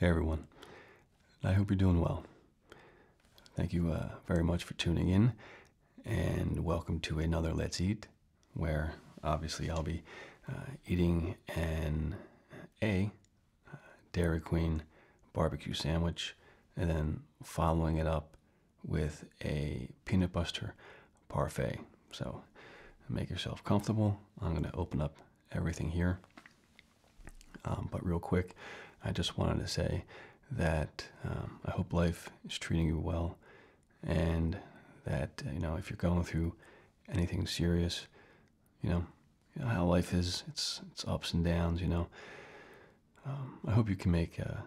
Hey everyone, I hope you're doing well. Thank you uh, very much for tuning in, and welcome to another Let's Eat, where obviously I'll be uh, eating and A Dairy Queen barbecue sandwich, and then following it up with a peanut butter parfait. So make yourself comfortable. I'm going to open up everything here. Um, but real quick, I just wanted to say that um, I hope life is treating you well and that, you know, if you're going through anything serious, you know, how life is. It's it's ups and downs. You know. Um, I hope you can make uh,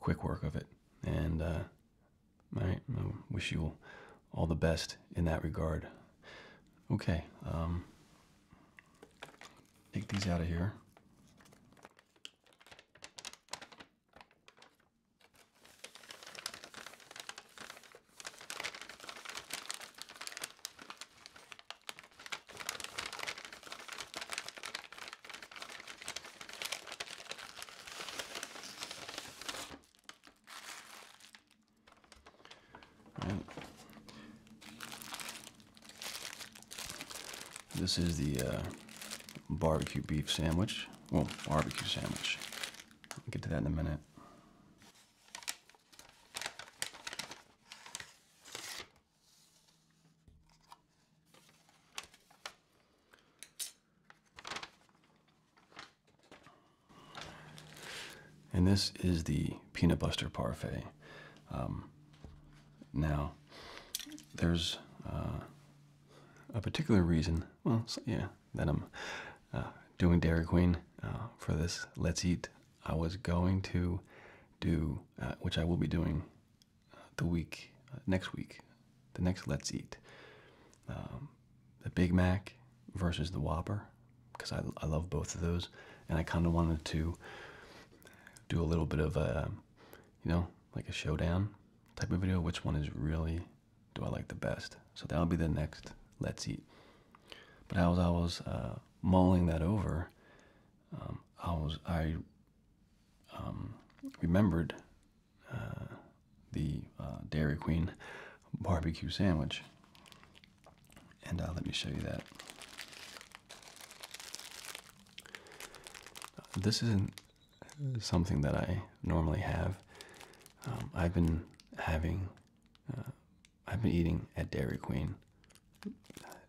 quick work of it, and uh, I, wish you all the best in that regard. Okay. Um, take these out of here. This is the uh, barbecue beef sandwich. Well, barbecue sandwich. I'll get to that in a minute. And this is the peanut buster parfait. Um, now, there's uh, a particular reason, well, yeah, that I'm uh, doing Dairy Queen uh, for this Let's Eat I was going to do, uh, which I will be doing uh, the week, uh, next week, the next Let's Eat, um, the Big Mac versus the Whopper, because I, I love both of those. And I kind of wanted to do a little bit of a, you know, like a showdown type of video. Which one is really, do I like the best? So that'll be the next Let's Eat. But as I was uh, mulling that over, um, I was I um, remembered uh, the uh, Dairy Queen barbecue sandwich, and uh, let me show you that. This isn't something that I normally have. Um, I've been having I've been eating at Dairy Queen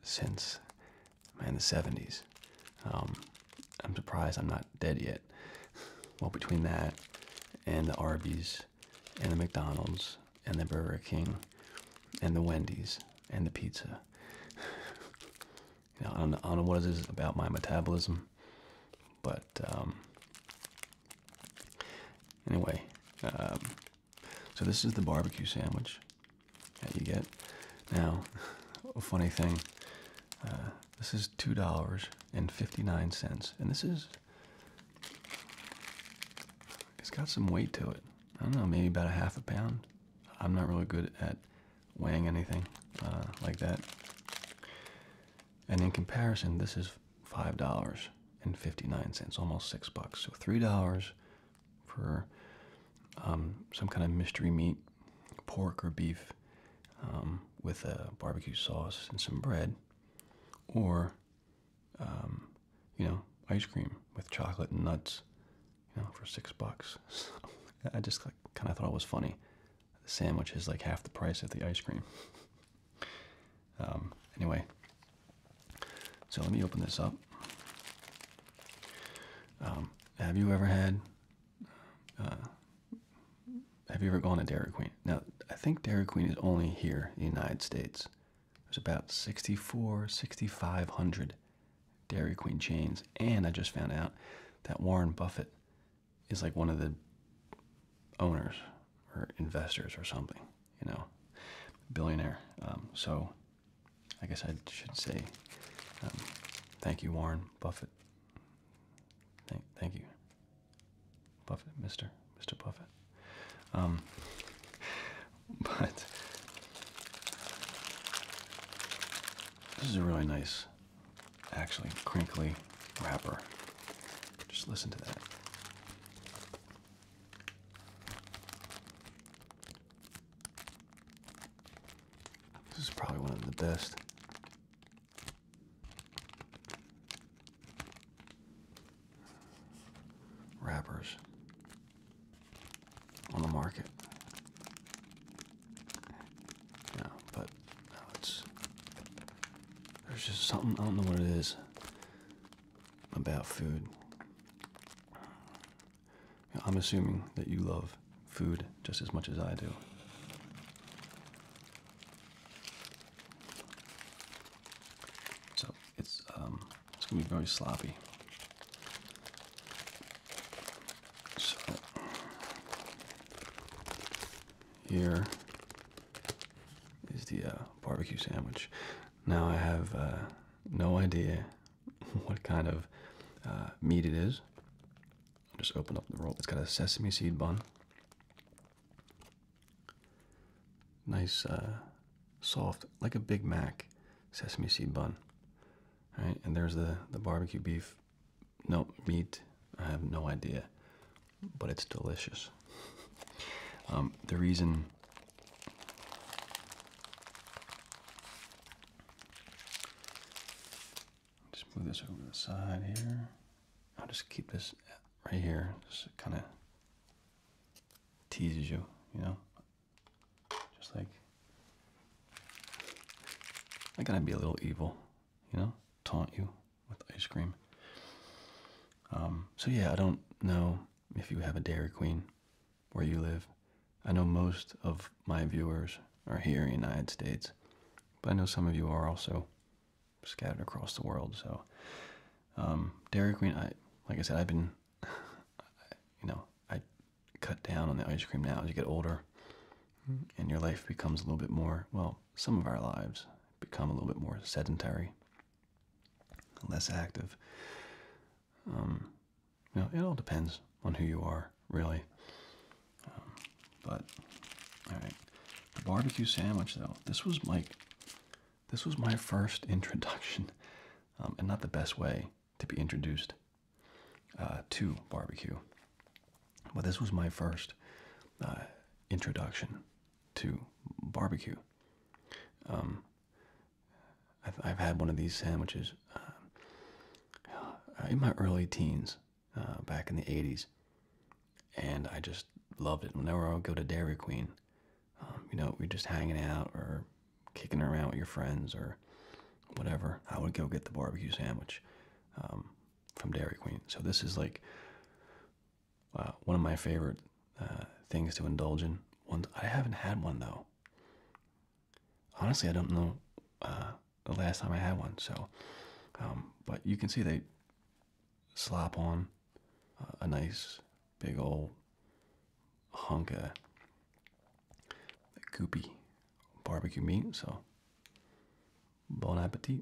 since man the 70s. Um, I'm surprised I'm not dead yet. Well, between that and the Arby's and the McDonald's and the Burger King and the Wendy's and the pizza. I don't, know what it is about my metabolism, but um, anyway, um, so this is the barbecue sandwich that you get. Now, a funny thing. Uh, this is two dollars and fifty-nine cents, and this is. It's got some weight to it. I don't know, maybe about a half a pound. I'm not really good at weighing anything uh, like that. And in comparison, this is five dollars and fifty-nine cents, almost six bucks. So three dollars for um, some kind of mystery meat, pork or beef, um, with a barbecue sauce and some bread, or um, you know, ice cream with chocolate and nuts, you know, for six bucks. I just kind of thought it was funny. The sandwich is like half the price of the ice cream. Um, anyway, so let me open this up. Um, have you ever had? Uh, have you ever gone to Dairy Queen? Now, I think Dairy Queen is only here in the United States. There's about 64, 6,500 Dairy Queen chains. And I just found out that Warren Buffett is like one of the owners or investors or something you know, billionaire. Um, so I guess I should say um, thank you, Warren Buffett. Thank, thank you, Buffett, Mister, Mister Buffett. Um, but this is a really nice, actually crinkly wrapper. Just listen to that. This is probably one of the best. Wrappers on the market. No, but no, it's there's just something I don't know what it is about food. I'm assuming that you love food just as much as I do. So it's um, it's gonna be very sloppy. So here is the uh, barbecue sandwich. Now I have uh, no idea what kind of uh, meat it is. I'll just open up the roll. It's got a sesame seed bun. Nice, uh, soft, like a Big Mac sesame seed bun. All right, and there's the, the barbecue beef. No, meat. I have no idea. But it's delicious. Um, the reason just move this over the side here. I'll just keep this right here. Just kind of teases you, you know? Just like, I gotta be a little evil, you know? Taunt you with ice cream. Um, so yeah, I don't know if you have a Dairy Queen where you live. I know most of my viewers are here in the United States, but I know some of you are also scattered across the world. So, um, Dairy Queen, I like I said, I've been, you know, I cut down on the ice cream now as you get older, and your life becomes a little bit more. Well, some of our lives become a little bit more sedentary less active. Um, you know, it all depends on who you are, really. Um, but all right, the barbecue sandwich though. This was like, this was my first introduction, um, and not the best way to be introduced uh, to barbecue. But this was my first uh, introduction to barbecue. I've, had one of these sandwiches um, uh, in my early teens, uh, back in the 80s, and I just loved it. Whenever I would go to Dairy Queen, um, you know, we're just hanging out or kicking around with your friends or whatever, I would go get the barbecue sandwich um, from Dairy Queen. So this is like uh, one of my favorite uh, things to indulge in. One I haven't had one though. Honestly, I don't know uh, the last time I had one. So, um, but you can see they slap on a nice big old hunk of goopy barbecue meat. So, bon appetit.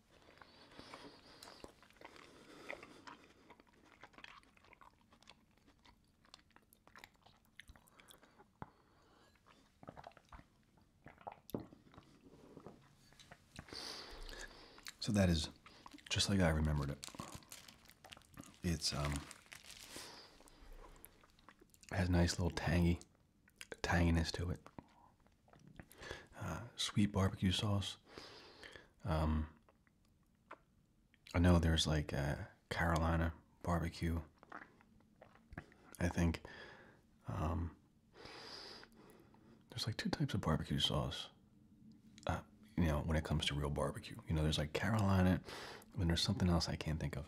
So that is just like I remembered it. It's um has nice little tangy tanginess to it. Uh, sweet barbecue sauce. Um, I know there's like uh, Carolina barbecue. I think um, there's like two types of barbecue sauce. Uh, you know, when it comes to real barbecue, you know, there's like Carolina, and there's something else I can't think of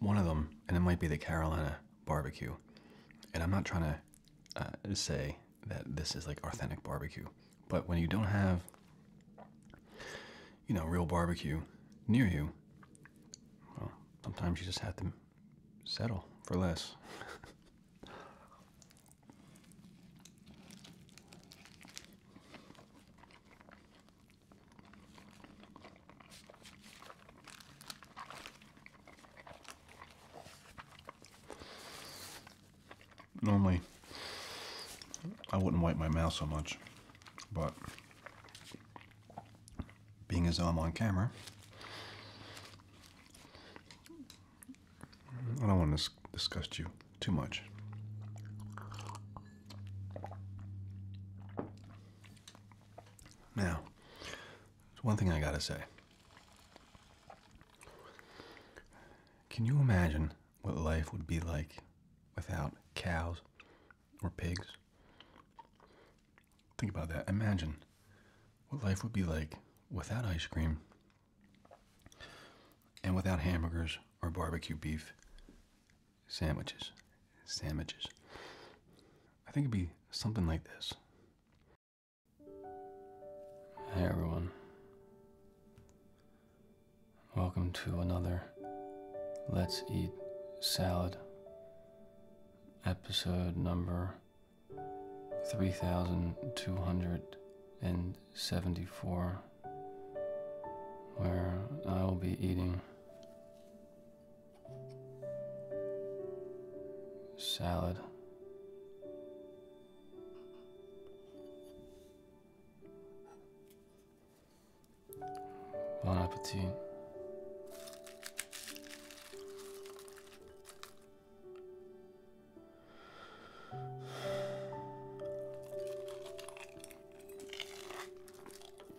one of them, and it might be the Carolina barbecue. And I'm not trying to uh, say that this is like authentic barbecue, but when you don't have, you know, real barbecue near you, well, sometimes you just have to settle for less. Normally, I wouldn't wipe my mouth so much, but being as I'm on camera, I don't want to disgust you too much. Now, there's one thing I gotta say. Can you imagine what life would be like without cows or pigs? Think about that. Imagine what life would be like without ice cream and without hamburgers or barbecue beef sandwiches. Sandwiches. I think it'd be something like this. Hey everyone. Welcome to another Let's Eat Salad episode number 3274 where I will be eating Salad. Bon appetit.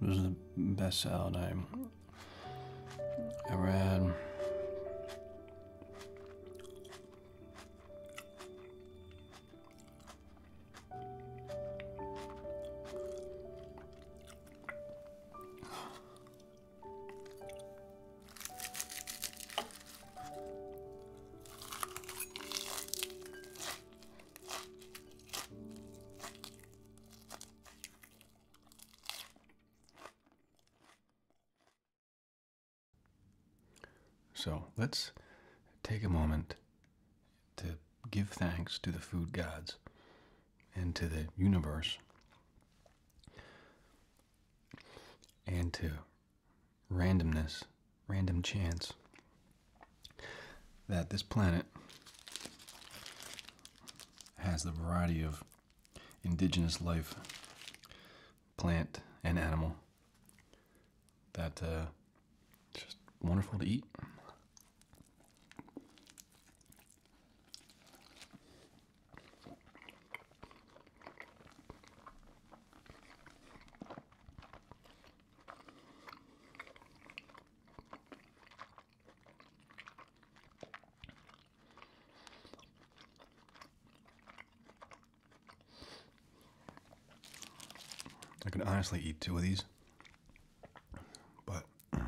This is the best salad I have ever had. So let's take a moment to give thanks to the food gods and to the universe and to randomness, random chance that this planet has the variety of indigenous life, plant and animal, that uh, just wonderful to eat. I could honestly eat two of these, but I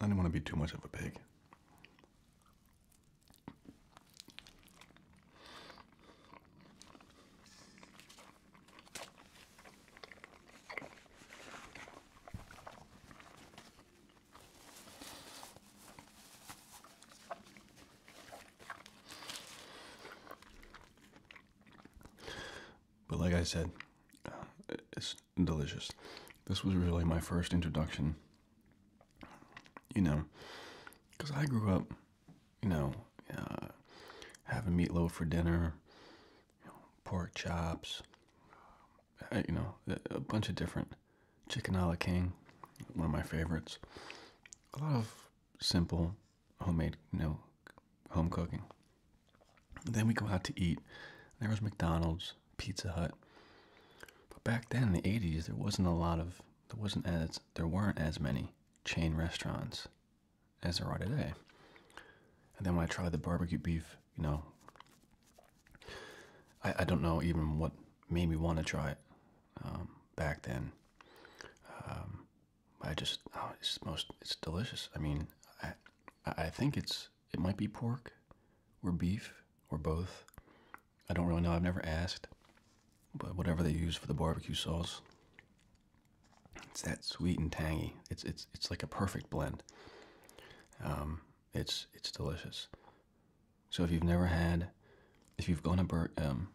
didn't want to be too much of a pig. But like I said, uh, it's delicious. This was really my first introduction, you know, because I grew up, you know, uh, having meatloaf for dinner, pork chops, uh, you know, a bunch of different chicken a la king, one of my favorites. A lot of simple homemade, you know, home cooking. Then we go out to eat. There was McDonald's, Pizza Hut. But back then in the 80s, there wasn't a lot of there wasn't as there weren't as many chain restaurants as they are today. And then when I tried the barbecue beef, you know, I, I don't know even what made me want to try it um, back then. Um, I just, oh, it's most, it's delicious. I mean, I, I think it's, it might be pork or beef or both. I don't really know. I've never asked, but whatever they use for the barbecue sauce, it's that sweet and tangy. It's it's it's like a perfect blend. Um, it's it's delicious. So if you've never had, if you've gone to bur um,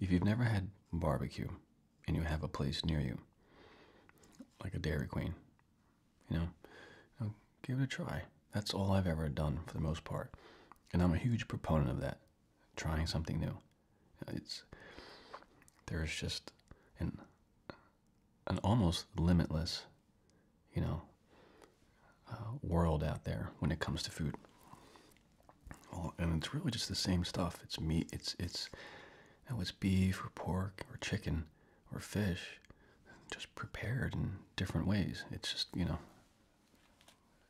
if you've never had barbecue, and you have a place near you, like a Dairy Queen, you know, um, give it a try. That's all I've ever done for the most part, and I'm a huge proponent of that. Trying something new. It's there's just an an almost limitless, you know, uh, world out there when it comes to food. and it's really just the same stuff. It's meat. It's it's, you know, it's beef or pork or chicken or fish, just prepared in different ways. It's just you know,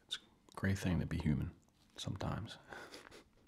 it's a great thing to be human sometimes.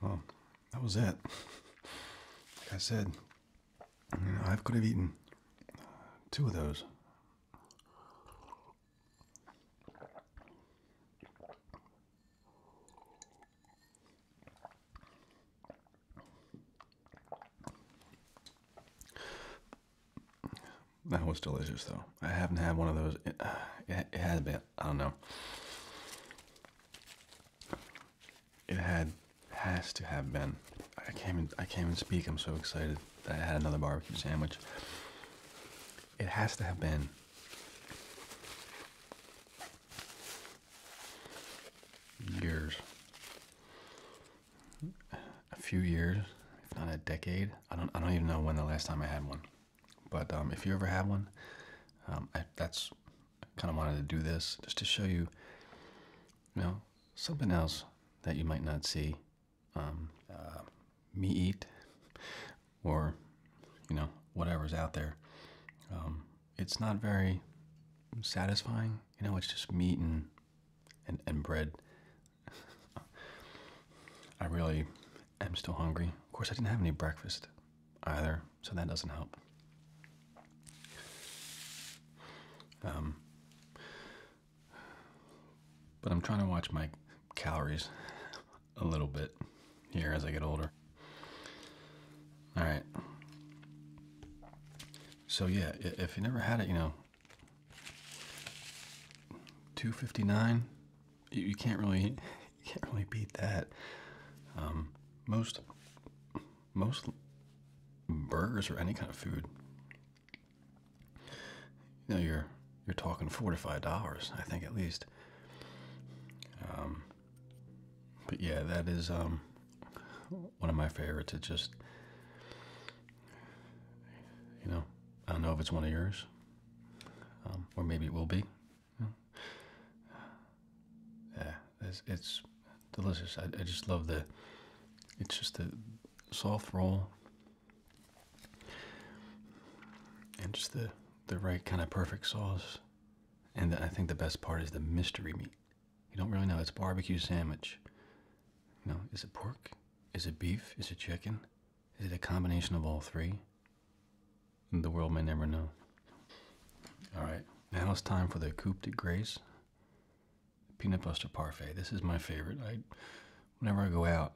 Well, that was it. Like I said, I could have eaten two of those. That was delicious, though. I haven't had one of those. It, it, it been. I don't know. It had has to have been. I can't. Even, I can't speak. I'm so excited that I had another barbecue sandwich. It has to have been. Years. A few years, if not a decade. I don't. I don't even know when the last time I had one. But um, if you ever have one, um, I, that's kind of wanted to do this just to show you, you know, something else that you might not see um, uh, me eat or you know whatever's out there. it's not very satisfying, you know. It's just meat and and, and bread I really am still hungry. Of course, I didn't have any breakfast either, so that doesn't help. Um, but I'm trying to watch my calories a little bit here as I get older. All right. So yeah, if you never had it, you know, 259 you, can't really you can't really beat that. Um, most most burgers or any kind of food. You know, you're you're talking four to five dollars, I think at least. Um, but yeah, that is um, one of my favorites. It just, you know, I don't know if it's one of yours, um, or maybe it will be. Yeah, it's, it's delicious. I, I just love the. It's just the soft roll, and just the the right kind of perfect sauce. And I think the best part is the mystery meat. You don't really know. It's barbecue sandwich. You is it pork? Is it beef? Is it chicken? Is it a combination of all three? The world may never know. Alright, now it's time for the Coupe Grace Peanut butter Parfait. This is my favorite. I, Whenever I go out,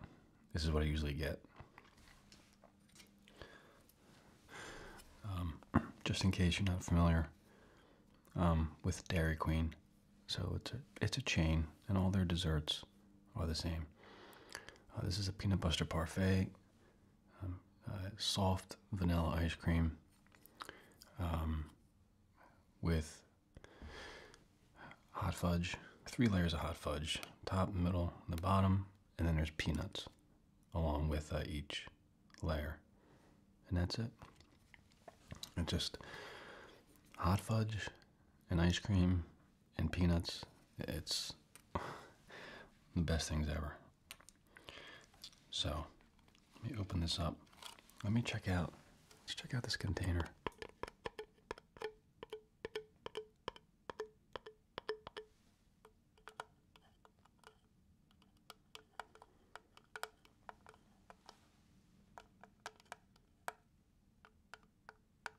this is what I usually get. Um, just in case you're not familiar um, with Dairy Queen. So it's a, it's a chain, and all their desserts are the same. Uh, this is a peanut butter parfait, um, uh, soft vanilla ice cream um, with hot fudge, three layers of hot fudge, top, middle, and the bottom, and then there's peanuts along with uh, each layer. And that's it. It's just hot fudge and ice cream and peanuts. It's the best things ever. So, let me open this up. Let me check out. Let's check out this container.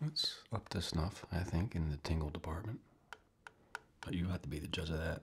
That's up to snuff, I think, in the tingle department. But you have to be the judge of that.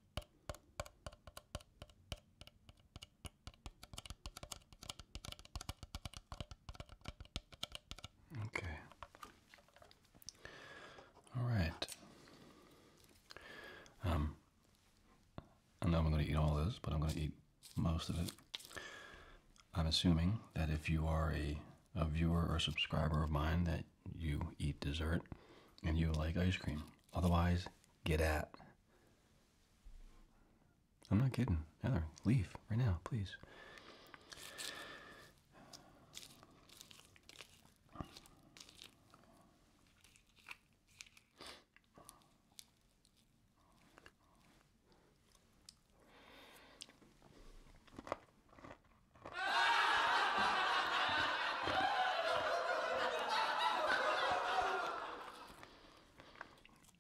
Okay. All right. Um, I know I'm going to eat all this, but I'm going to eat most of it. I'm assuming that if you are a, a viewer or subscriber of mine, that you eat dessert and you like ice cream. Otherwise, Get out. I'm not kidding. Heather, leave right now, please.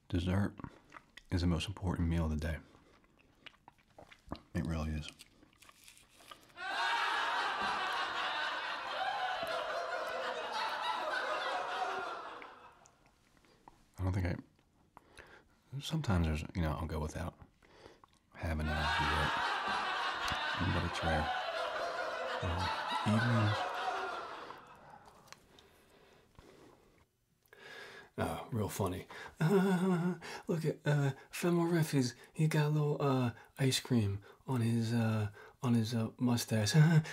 Dessert is the most important meal of the day. It really is. I don't think I. Sometimes there's, you know, I'll go without having it. dessert, but it's rare and ah, real funny. look at uh, Femo Riff. he got a little uh, ice cream on his uh, on his uh, mustache? yeah,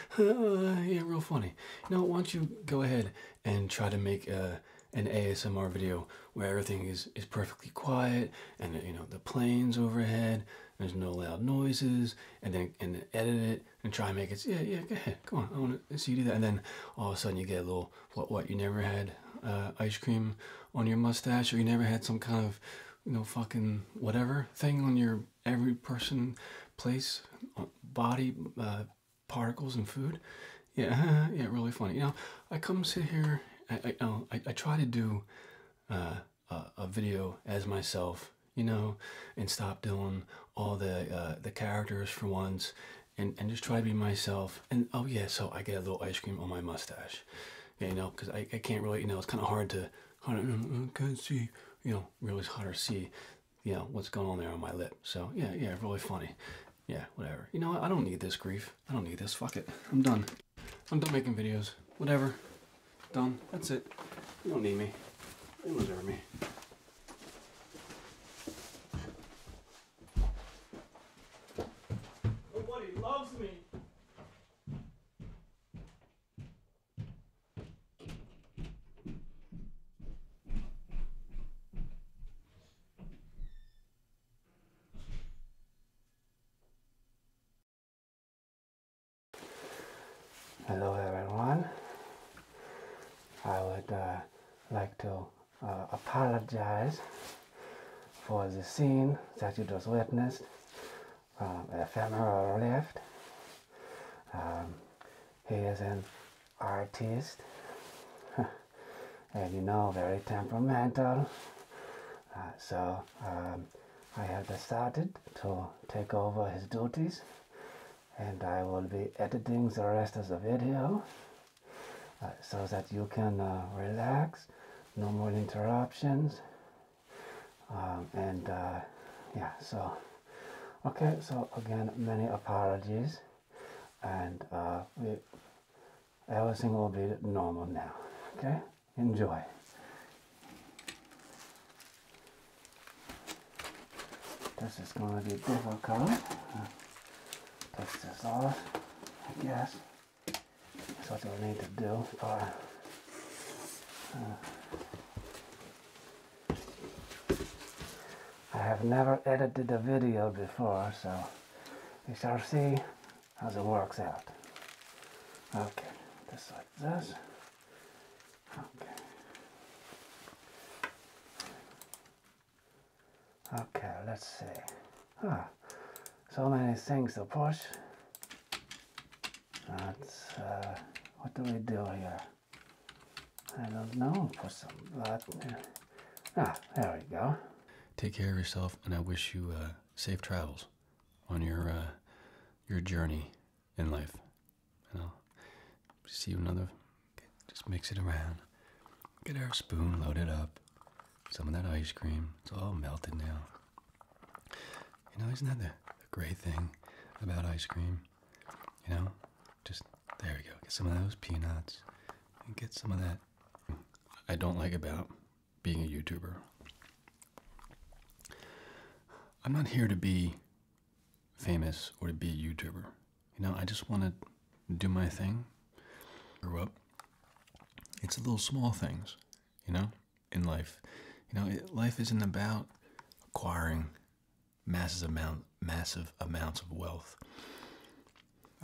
real funny. Now, why don't you go ahead and try to make uh, an ASMR video where everything is is perfectly quiet and you know the planes overhead, there's no loud noises and then and then edit it and try and make it yeah yeah go ahead come on i want to see you do that and then all of a sudden you get a little what what you never had uh, ice cream on your mustache or you never had some kind of you know fucking whatever thing on your every person place uh, body uh, particles and food yeah yeah really funny you know i come sit here i i, I, try to do a, video as myself, you know, and stop doing all the uh, the characters for once, and and just try to be myself. And oh yeah, so I get a little ice cream on my mustache, you know, because I, I can't really, you know, it's kind of hard to hard to, I can't see, you know, really it's hard to see, you know, what's going on there on my lip. So yeah, yeah, really funny. Yeah, whatever. You know, I don't need this grief. I don't need this. Fuck it. I'm done. I'm done making videos. Whatever. Done. That's it. You don't need me. You do ever me. Nobody loves me. Hello everyone. I would uh, like to uh, apologize for the scene that you just witnessed, um, The ephemeral left. Um, he is an artist, and you know, very temperamental. Uh, so um, I have decided to take over his duties and I will be editing the rest of the video uh, so that you can uh, relax, no more interruptions. Um, and uh, yeah, so okay, so again, many apologies, and everything will be normal now, okay. Enjoy. This is going to be difficult. Take this off, I guess. That's what we will need to do uh, I have never edited a video before, so we shall see How's it works out. Okay, just like this. Okay. let's see. Huh. So many things to push. That's, uh, what do we do here? I don't know. Put some blood there. Ah, there we go. Take care of yourself, and I wish you uh, safe travels on your uh, your journey in life. And I'll see you another. Okay, just mix it around. Get our spoon load it up. Some of that ice cream. It's all melted now. You know, isn't that the, great thing about ice cream? You know, just there we go. Get some of those peanuts and get some of that. I don't like about being a YouTuber. I'm not here to be famous or to be a YouTuber. You know, I just want to do my thing. Grew up. It's the little small things, you know, in life. You know, life isn't about acquiring massive amount, massive amounts of wealth.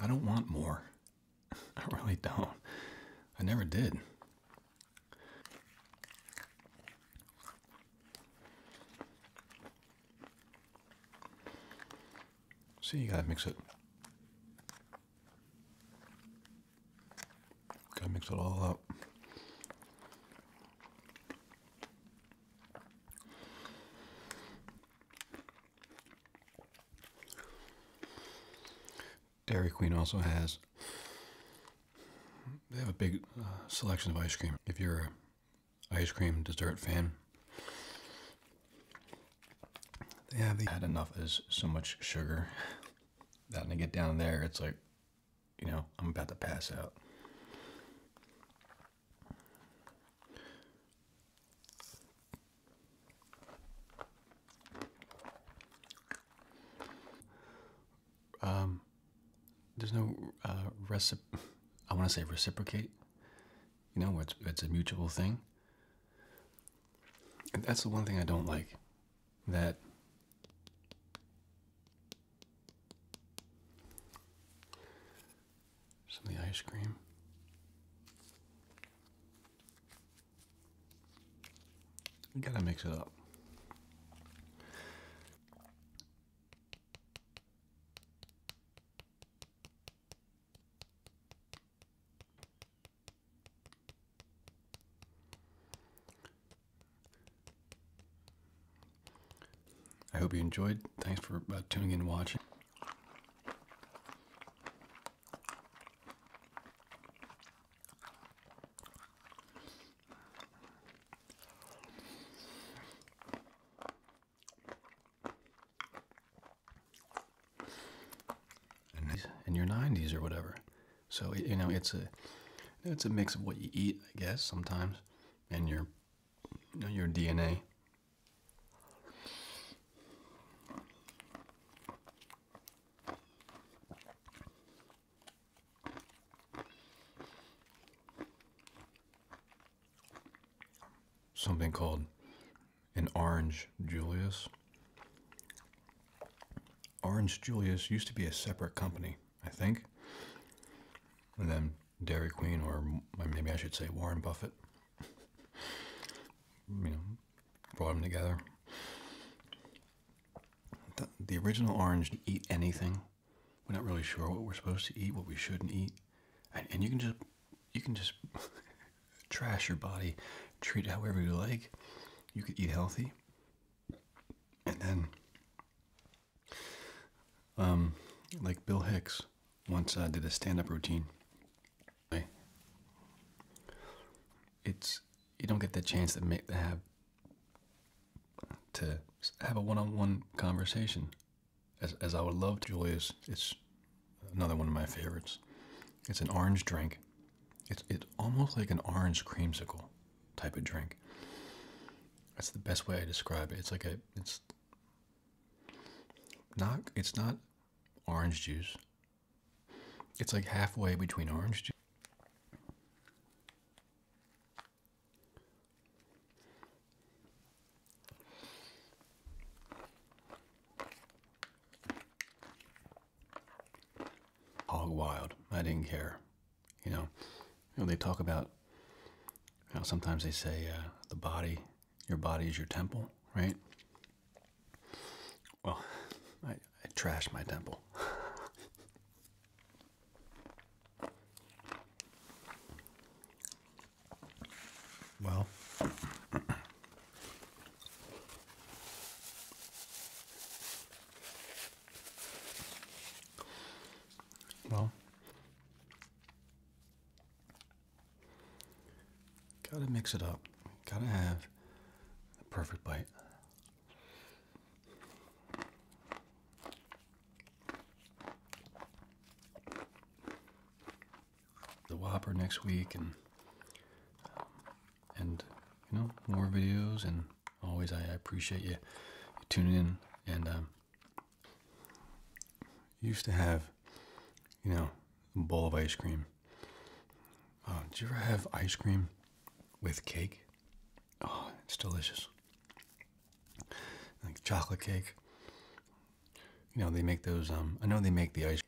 I don't want more. I really don't. I never did. See, you gotta mix it. Gotta mix it all up. Dairy Queen also has. They have a big uh, selection of ice cream. If you're a ice cream dessert fan, they have the, had enough as so much sugar that when I get down there, it's like, you know, I'm about to pass out. Um, there's no uh, recip. I want to say reciprocate. You know, it's it's a mutual thing. that's the one thing I don't like. That some of the ice cream. You gotta mix it up. I hope you enjoyed. Thanks for uh, tuning in and watching in your 90s or whatever. So you know, it's a it's a mix of what you eat, I guess, sometimes, and your know, your DNA something called an Orange Julius. Orange Julius used to be a separate company, I think. And then Dairy Queen, or maybe I should say Warren Buffett, you know, brought them together. The, original orange did eat anything. We're not really sure what we're supposed to eat, what we shouldn't eat, and, and you can just you can just trash your body, treat it however you like. You could eat healthy, and then, um, like Bill Hicks once uh, did a stand-up routine. It's you don't get the chance to make to have to have a one-on-one conversation. As as I would love to, Julius, it's another one of my favorites. It's an orange drink. It's it's almost like an orange creamsicle type of drink. That's the best way I describe it. It's like a it's not it's not orange juice. It's like halfway between orange Hog wild. I didn't care. You know, you know they talk about, how sometimes they say uh, the body, your body is your temple, right? Well, I, I trashed my temple. well, well, gotta mix it up. Gotta have the perfect bite. The Whopper next week, and um, and you know more videos, and always I, appreciate you, tuning in. And um, used to have, you know, a bowl of ice cream uh, Do you ever have ice cream with cake? Oh, it's delicious. Like chocolate cake. You know, they make those, um, I know they make the ice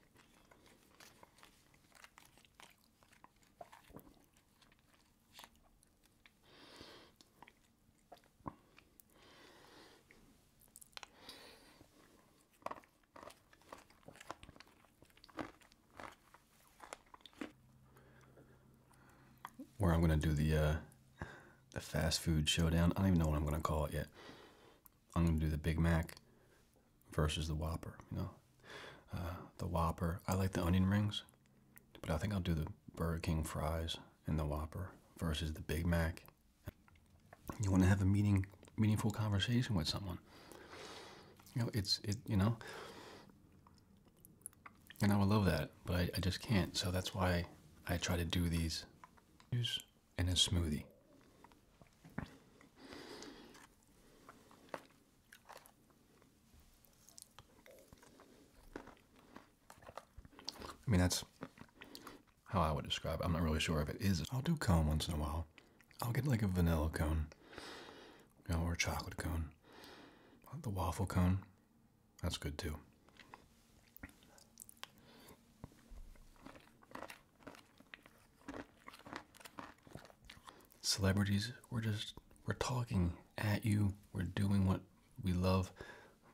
where I'm gonna do the uh, the fast food showdown. I don't even know what I'm gonna call it yet. I'm gonna do the Big Mac versus the Whopper. You know, uh, the Whopper. I like the onion rings, but I think I'll do the Burger King fries and the Whopper versus the Big Mac. You want to have a meaning, meaningful conversation with someone. You know, it's it. You know, and I would love that, but I, just can't. So that's why I try to do these in a smoothie. I mean, that's how I would describe it. I'm not really sure if it is. I'll do calm once in a while. I'll get like a vanilla cone, or a chocolate cone. Uh, the waffle cone, that's good too. Celebrities, we're just we're talking at you. We're doing what we love,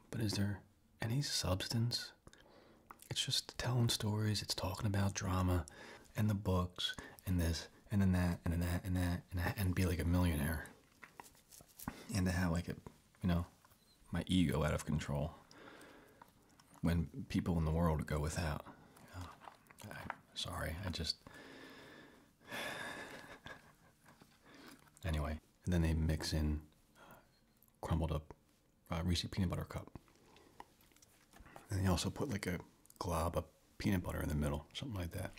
but is there any substance? It's just telling stories. It's talking about drama and the books and this and then that and then that and that and that and be like a millionaire and to have like a you know my ego out of control when people in the world go without sorry i just anyway and then they mix in uh, crumbled up uh, reese peanut butter cup and they also put like a glob of peanut butter in the middle, something like that.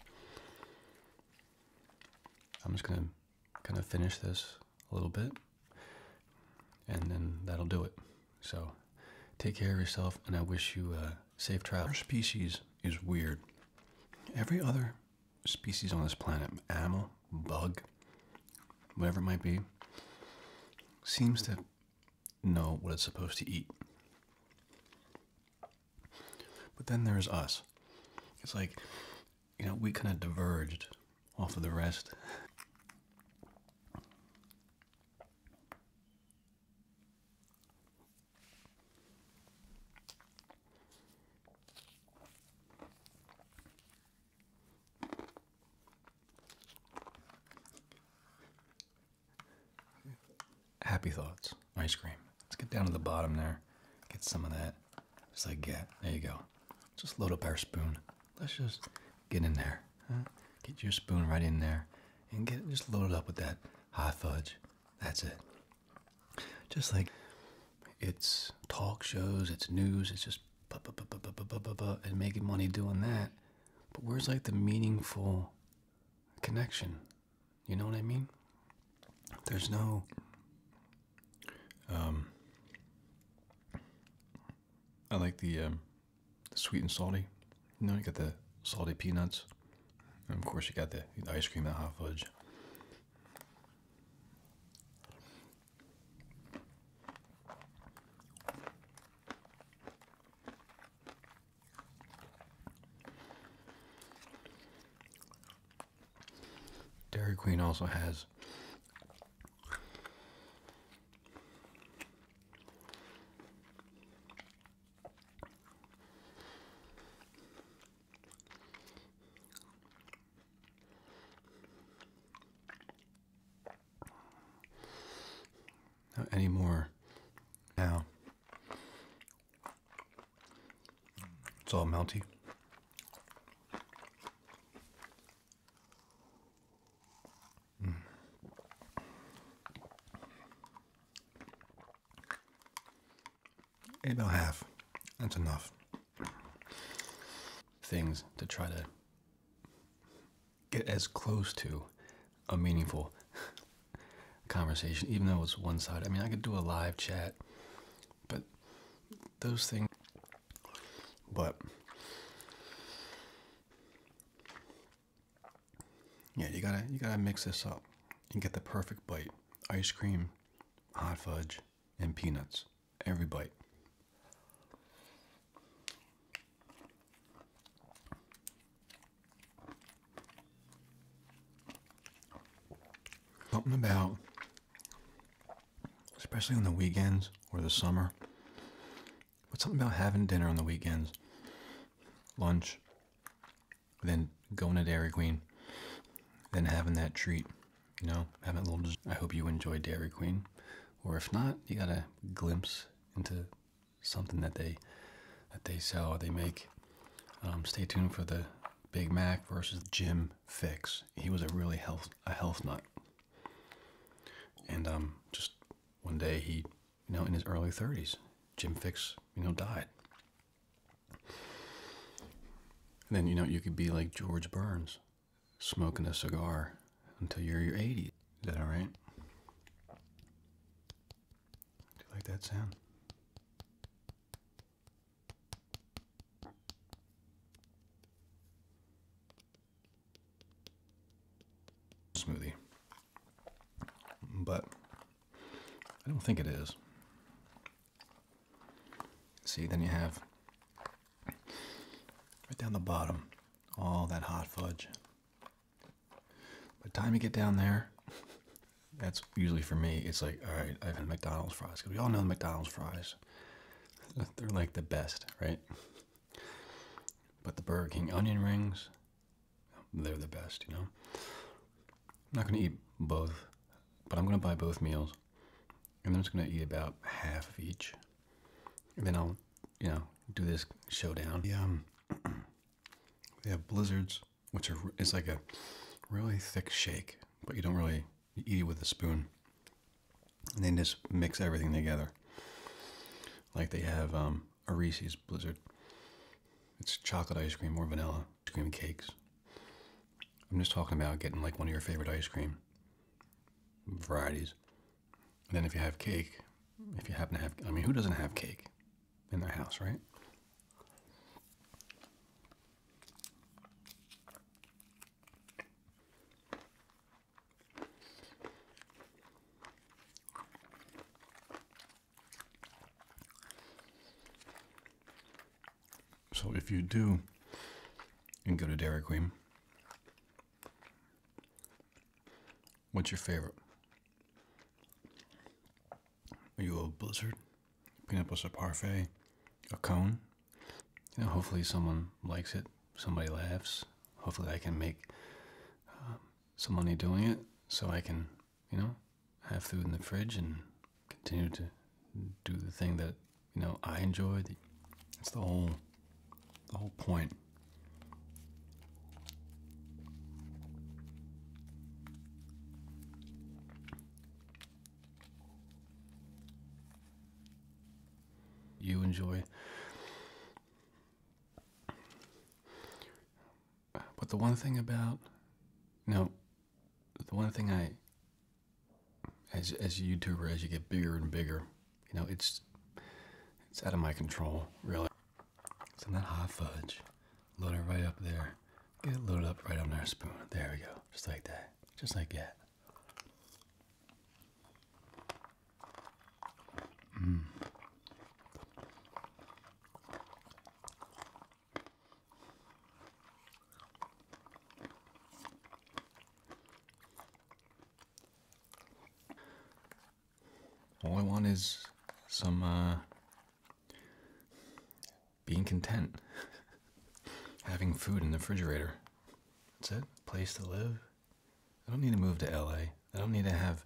I'm just gonna kind of finish this a little bit and then that'll do it. So take care of yourself and I wish you a uh, safe trip. Our species is weird. Every other species on this planet, animal, bug, whatever it might be, seems to know what it's supposed to eat. But then there's us. It's like, you know, we kind of diverged off of the rest. Happy thoughts, ice cream. Let's get down to the bottom there. Get some of that. Just like yeah, There you go. Just load up our spoon. Let's just get in there. Get your spoon right in there and get just loaded up with that hot fudge. That's it. Just like it's talk shows, it's news, it's just and making money doing that. But where's like the meaningful connection? You know what I mean? There's no um, I like um, the sweet and salty. You know, you got the salty peanuts. And of course you got the, ice cream and the hot fudge. Dairy Queen also has not anymore. Now. It's all melty. Mm. about half. That's enough. Things to try to get as close to a meaningful conversation, even though it's one sided I mean, I could do a live chat, but those things. But yeah, you gotta you gotta mix this up and get the perfect bite: ice cream, hot fudge, and peanuts every bite. Something about, especially on the weekends or the summer, but something about having dinner on the weekends, lunch, then going to Dairy Queen, then having that treat, you know, having a little. I hope you enjoyed Dairy Queen, or if not, you got a glimpse into something that they that they sell or they make. Um, stay tuned for the Big Mac versus Jim Fix. He was a really health a health nut, and um, just one day he, you know, in his early 30s, Jim Fix, you know, died. And then you know you could be like George Burns, smoking a cigar until you're your 80s. Is that all right? Do you like that sound? Smoothie. But I don't think it is. See, then you have right down the bottom all that hot fudge by the time you get down there, that's usually for me, it's like, all right, I've had McDonald's fries. Because we all know the McDonald's fries. They're like the best, right? But the Burger King onion rings, they're the best, you know? I'm not going to eat both, but I'm going to buy both meals. And I'm just going to eat about half of each. And then I'll, you know, do this showdown. Yeah, they um, have blizzards, which are it's like a really thick shake, but you don't really eat it with a spoon. And then just mix everything together. Like they have um, a Reese's blizzard. It's chocolate ice cream or vanilla cream cakes. I'm just talking about getting like one of your favorite ice cream varieties. And then if you have cake, if you happen to have, I mean, who doesn't have cake in their house, right? So if you do and go to Dairy Queen, What's your favorite? Are you a blizzard? Peanut a parfait? A cone? You know, hopefully someone likes it. Somebody laughs. Hopefully I can make uh, some money doing it so I can, you know, have food in the fridge and continue to do the thing that, you know, I enjoy. It's the whole the whole point. You enjoy. But the one thing about no, the one thing I as as a YouTuber as you get bigger and bigger you know, it's it's out of my control, really. Some of that hot fudge. Load it right up there. Get it loaded up right on our spoon. There we go. Just like that. Just like that. Mm. All I want is some uh, being content, having food in the refrigerator. That's it. Place to live. I don't need to move to LA. I don't need to have.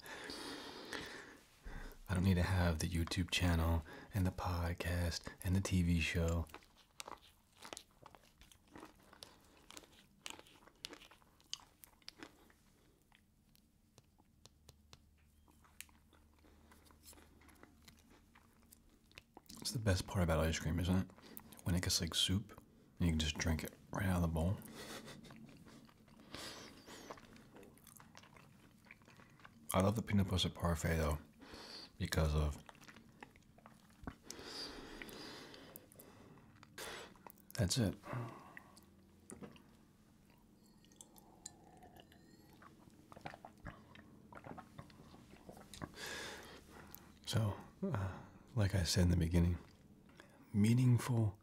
I don't need to have the YouTube channel and the podcast and the TV show. It's the best part about ice cream, isn't it? When it gets like soup, you can just drink it right out of the bowl. I love the peanut butter parfait though, because of that's it. So, uh, like I said in the beginning, meaningful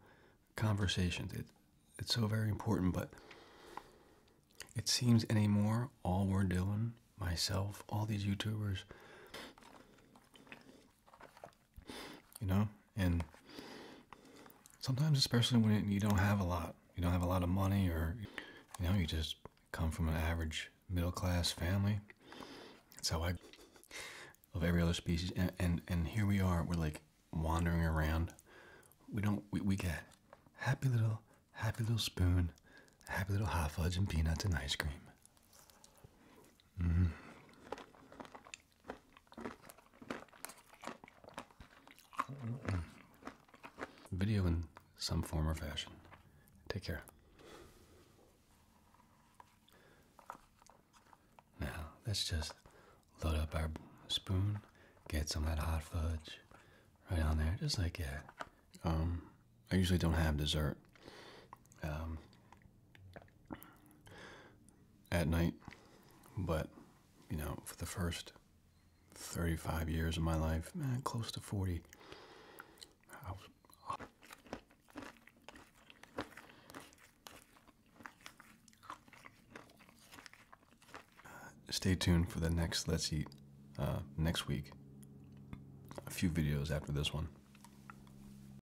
conversations. It, it's so very important, but it seems anymore all we're doing, myself, all these YouTubers, you know and sometimes especially when you don't have a lot you don't have a lot of money or you know you just come from an average middle class family that's how i of every other species and, and here we are we're like wandering around we don't we, we get happy little happy little spoon happy little hot fudge and peanuts and ice cream mm-hmm. Video in some form or fashion. Take care. Now, let's just load up our spoon, get some of that hot fudge right on there, just like that. Um, I usually don't have dessert. Um, at night. But, you know, for the first 35 years of my life, and close to 40, Stay tuned for the next Let's Eat uh, next week. A few videos after this one.